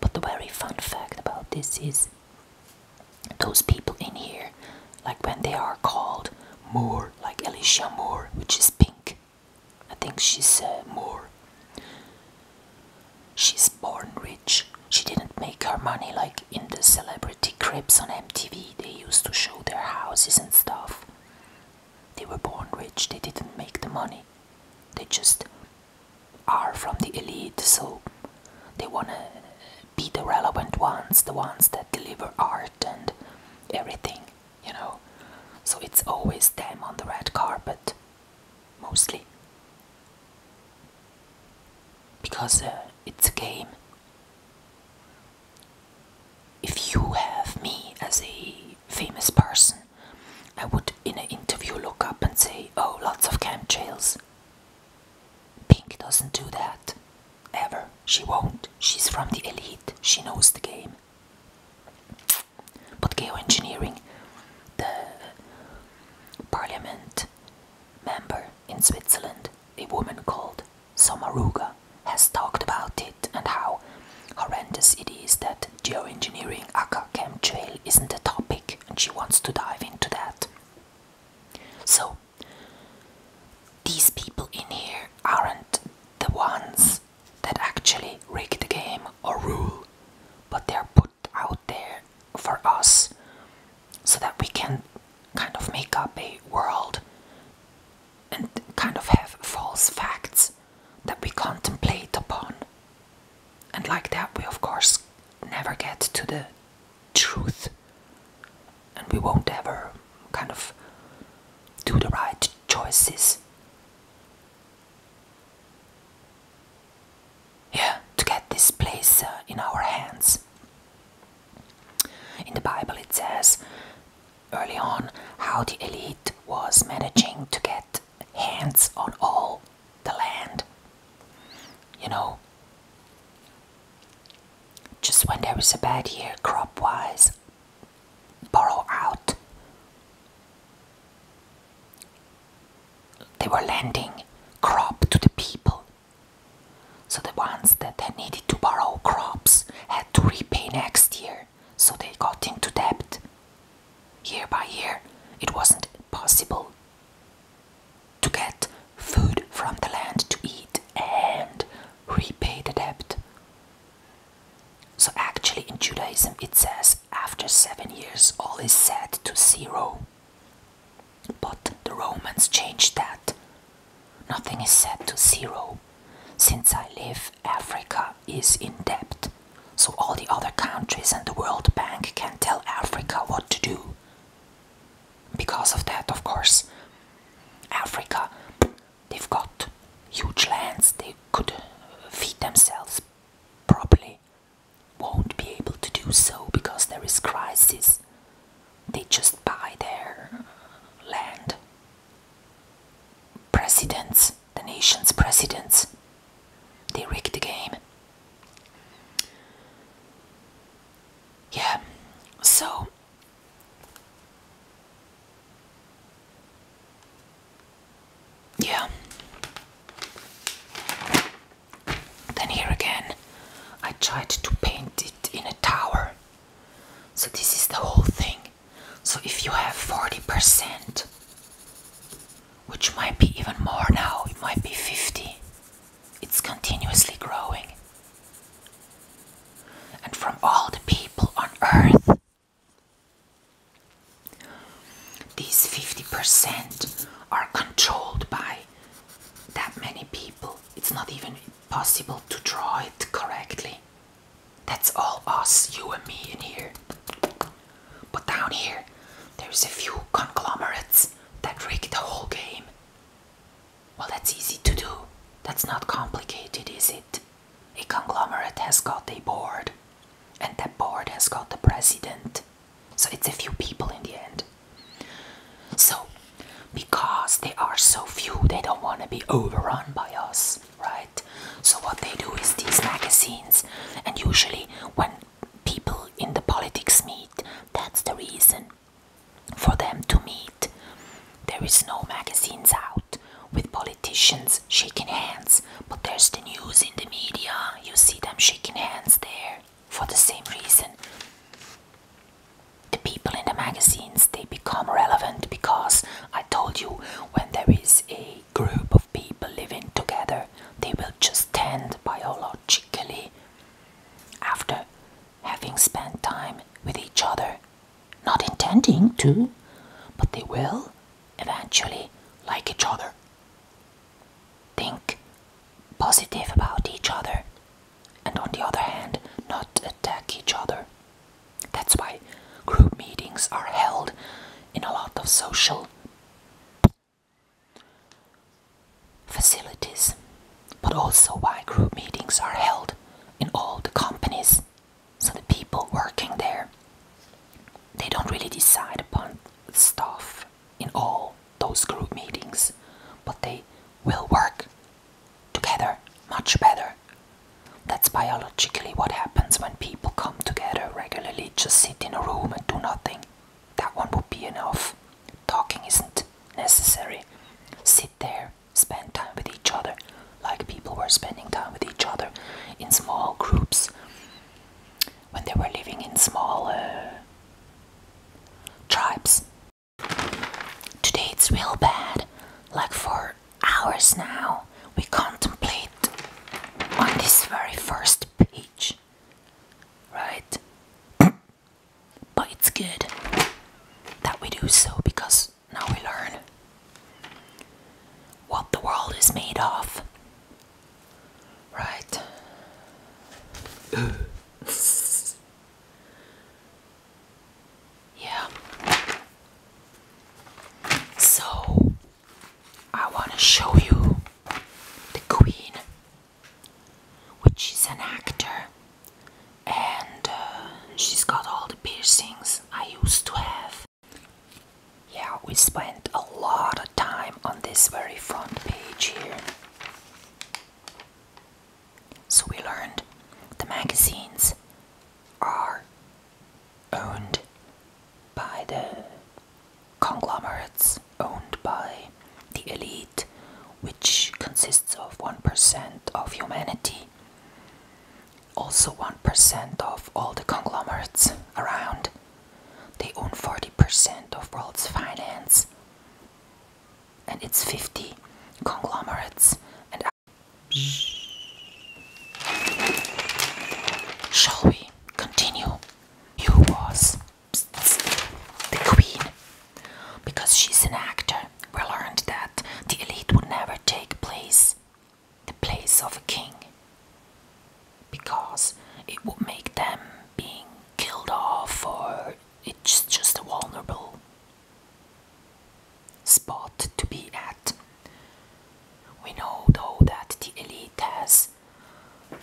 But the very fun fact about this is those people in here, like when they are called Moore, like Alicia Moore, which is pink. I think she's uh, Moore. She's born rich. She didn't make her money like in the celebrity cribs on MTV. They used to show their houses and stuff. They were born rich. They didn't make the money. They just are from the elite, so they want to be the relevant ones, the ones that deliver art and everything, you know. So it's always them on the red carpet, mostly. Because uh, it's a game. If you have me as a famous person, I would, in an interview, look up and say, Oh, lots of chemtrails. Pink doesn't do that. Ever. She won't. She's from the elite. She knows the game. But geoengineering, the parliament member in Switzerland, a woman called Sommaruga, has talked about it and how horrendous it is that geoengineering aka Trail isn't a topic and she wants to dive into that. So these people in here aren't the ones that actually rig the game or rule, but they're put out there for us so that we can kind of make up a world and kind of have false facts that we contemplate upon. And like that, we of course never get to the truth. And we won't ever kind of do the right choices. Yeah, to get this place uh, in our hands. In the Bible, it says, early on how the elite was managing to get hands on all the land. You know, just when there was a bad year crop wise, borrow out. They were lending crop to the people. So the ones that needed to borrow crops had to repay next year so they got into debt. Year by year, it wasn't possible to get food from the land to eat and repay the debt. So, actually, in Judaism, it says after seven years, all is set to zero. But the Romans changed that. Nothing is set to zero. Since I live, Africa is in debt, so all the other countries and the World Bank can tell Africa what to do. Because of that, of course, Africa, they've got huge lands, they could feed themselves properly, won't be able to do so because there is crisis. They just buy their land. Presidents the nation's presidents. They rigged the game. Yeah, so. Yeah. Then here again, I tried to paint it in a tower. So, this is the whole thing. So if you have 40%, which might be even more now, it might be 50, it's continuously growing. And from all the people on earth, these 50% are controlled by that many people. It's not even possible to draw it correctly. That's all us, you and me in here. But down here, there's a few conglomerates that rig the whole game. Well, that's easy to do. That's not complicated, is it? A conglomerate has got a board, and that board has got the president. So it's a few people in the end. So, because they are so few, they don't want to be overrun by us right? So, what they do is these magazines, and usually when people in the politics meet, that's the reason for them to meet. There is no magazines out with politicians shaking hands, but there's the news in the media, you see them shaking hands there for the same reason the people in the magazines they become relevant because I told you when there is a group of people living together they will just tend biologically after having spent time with each other not intending to but they will eventually like each other think positive about each other and on the other hand not attack each other that's why group meetings are held in a lot of social facilities, but also why group meetings are held in all the companies. So the people working there, they don't really decide upon stuff in all those group meetings, but they will work together much better. That's biologically what happens when people come together regularly, just sit in a room and do nothing. That one would be enough. Talking isn't necessary. Sit there, spend time with each other, like people were spending time with each other in small groups when they were living in smaller uh, tribes. Today it's real bad, like for hours now. We contemplate on this very first page, right? but it's good that we do so because now we learn what the world is made of, right? Yeah. So I want to show you the Queen, which is an actor, and uh, she's got all the piercings I used to have. Yeah, we spent a lot of time on this very front page here. So we learned the magazines are owned by the conglomerates, owned by the elite, which consists of 1% of humanity, also 1% of all the conglomerates around. They own 40% of world's finance and its 50 conglomerates and Shall we continue? You was the queen. Because she's an actor, we learned that the elite would never take place the place of a king. Because it would make them being killed off or it's just a vulnerable spot to be at. We know though that the elite has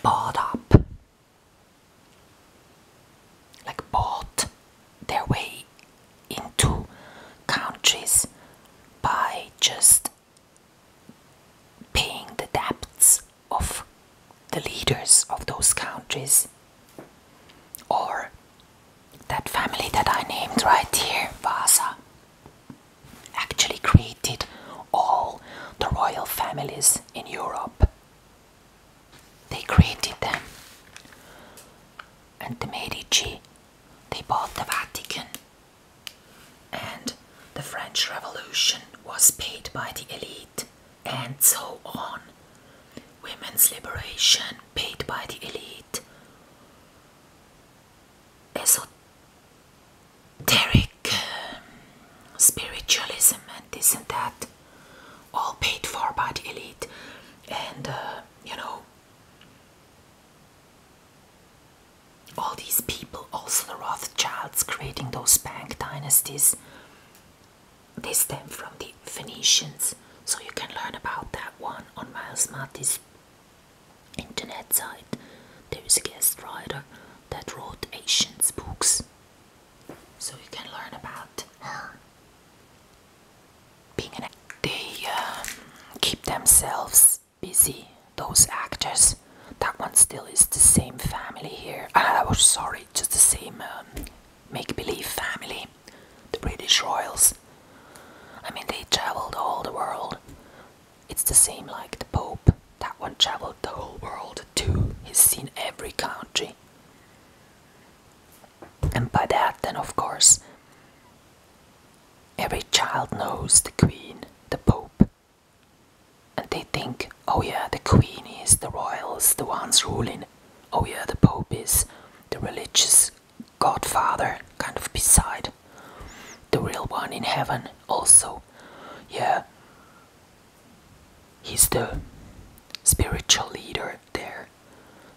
bought up, like bought their way into countries by just paying the debts of the leaders of those countries or that family that I named right here, Vasa, actually created all the royal families in Europe. They created them. And the Medici, they bought the Vatican. And the French Revolution was paid by the elite and so on. Women's liberation paid by the elite. Esoteric um, spiritualism and this and that, all paid for by the elite, and uh, you know, all these people, also the Rothschilds, creating those bank dynasties they stem from the Phoenicians, so you can learn about that one on Miles Mattis' internet site. There is a guest writer that wrote Asians books, so you can learn about her. Being they um, keep themselves busy, those actors, that one still is the same family here. I ah, was sorry, just the same um, make-believe family. The British royals. I mean, they traveled all the world. It's the same like the Pope. That one traveled the whole world too. He's seen every country. And by that, then of course, every child knows the Queen, the Pope, and they think, oh yeah, the queen is, the royals, the ones ruling. Oh yeah, the pope is, the religious godfather, kind of beside. The real one in heaven, also. Yeah. He's the spiritual leader there,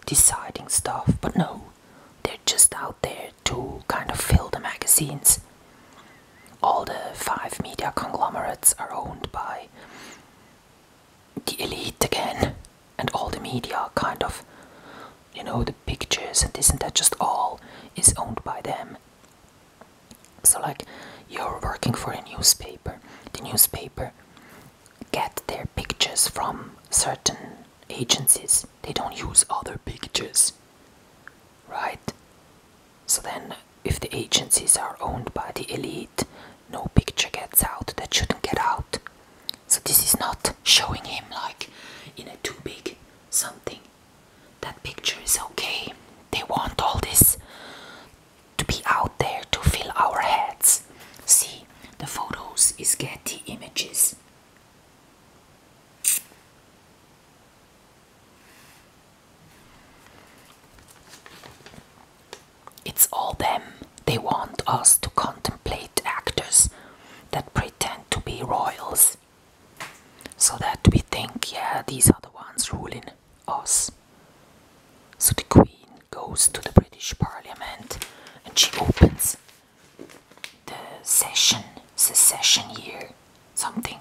deciding stuff. But no, they're just out there to kind of fill the magazines all the five media conglomerates are owned by the elite again, and all the media kind of, you know, the pictures and isn't that, just all is owned by them. So, like, you're working for a newspaper, the newspaper get their pictures from certain agencies, they don't use other pictures, right? So then if the agencies are owned by the elite, no picture gets out that shouldn't get out. So, this is not showing him like in a too big something. That picture is okay. They want all this to be out there to fill our heads. See, the photos is Getty images. It's all them. They want us to contemplate actors that pretend to be royals so that we think, yeah, these are the ones ruling us. So the Queen goes to the British Parliament and she opens the session, secession year something.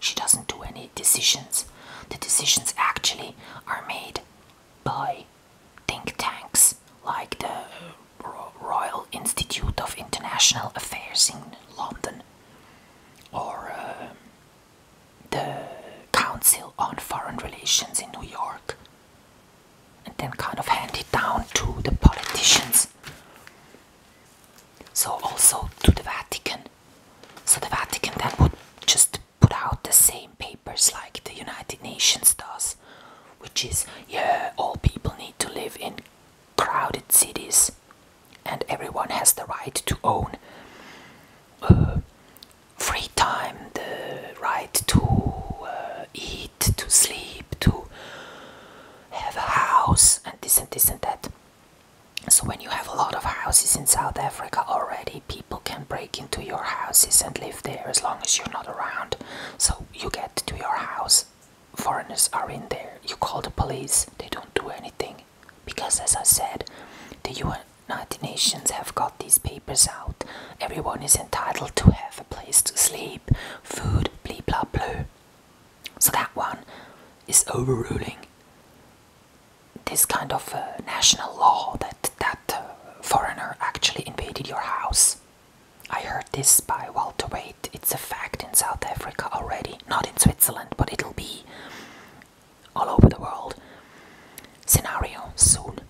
She doesn't do any decisions. The decisions actually are made by think tanks like the Royal Institute of International Affairs in London or uh, the Council on Foreign Relations in New York and then kind of handed down to the politicians. So also to the Vatican. So the Vatican then would just put out the same papers like the United Nations does, which is yeah, all people need to live in crowded cities, and everyone has the right to own uh, free time, the right to uh, eat, to sleep, to have a house and this and this and that. So, when you have a lot of houses in South Africa already, people can break into your houses and live there as long as you're not around. So, you get to your house, foreigners are in there, you call the police, they don't do anything. Because, as I said, the United Nations have got these papers out. Everyone is entitled to have a place to sleep, food, blee blah blue. So that one is overruling this kind of uh, national law that that uh, foreigner actually invaded your house. I heard this by Walter Wade. It's a fact in South Africa already, not in Switzerland, but it'll be all over the world. Scenario soon.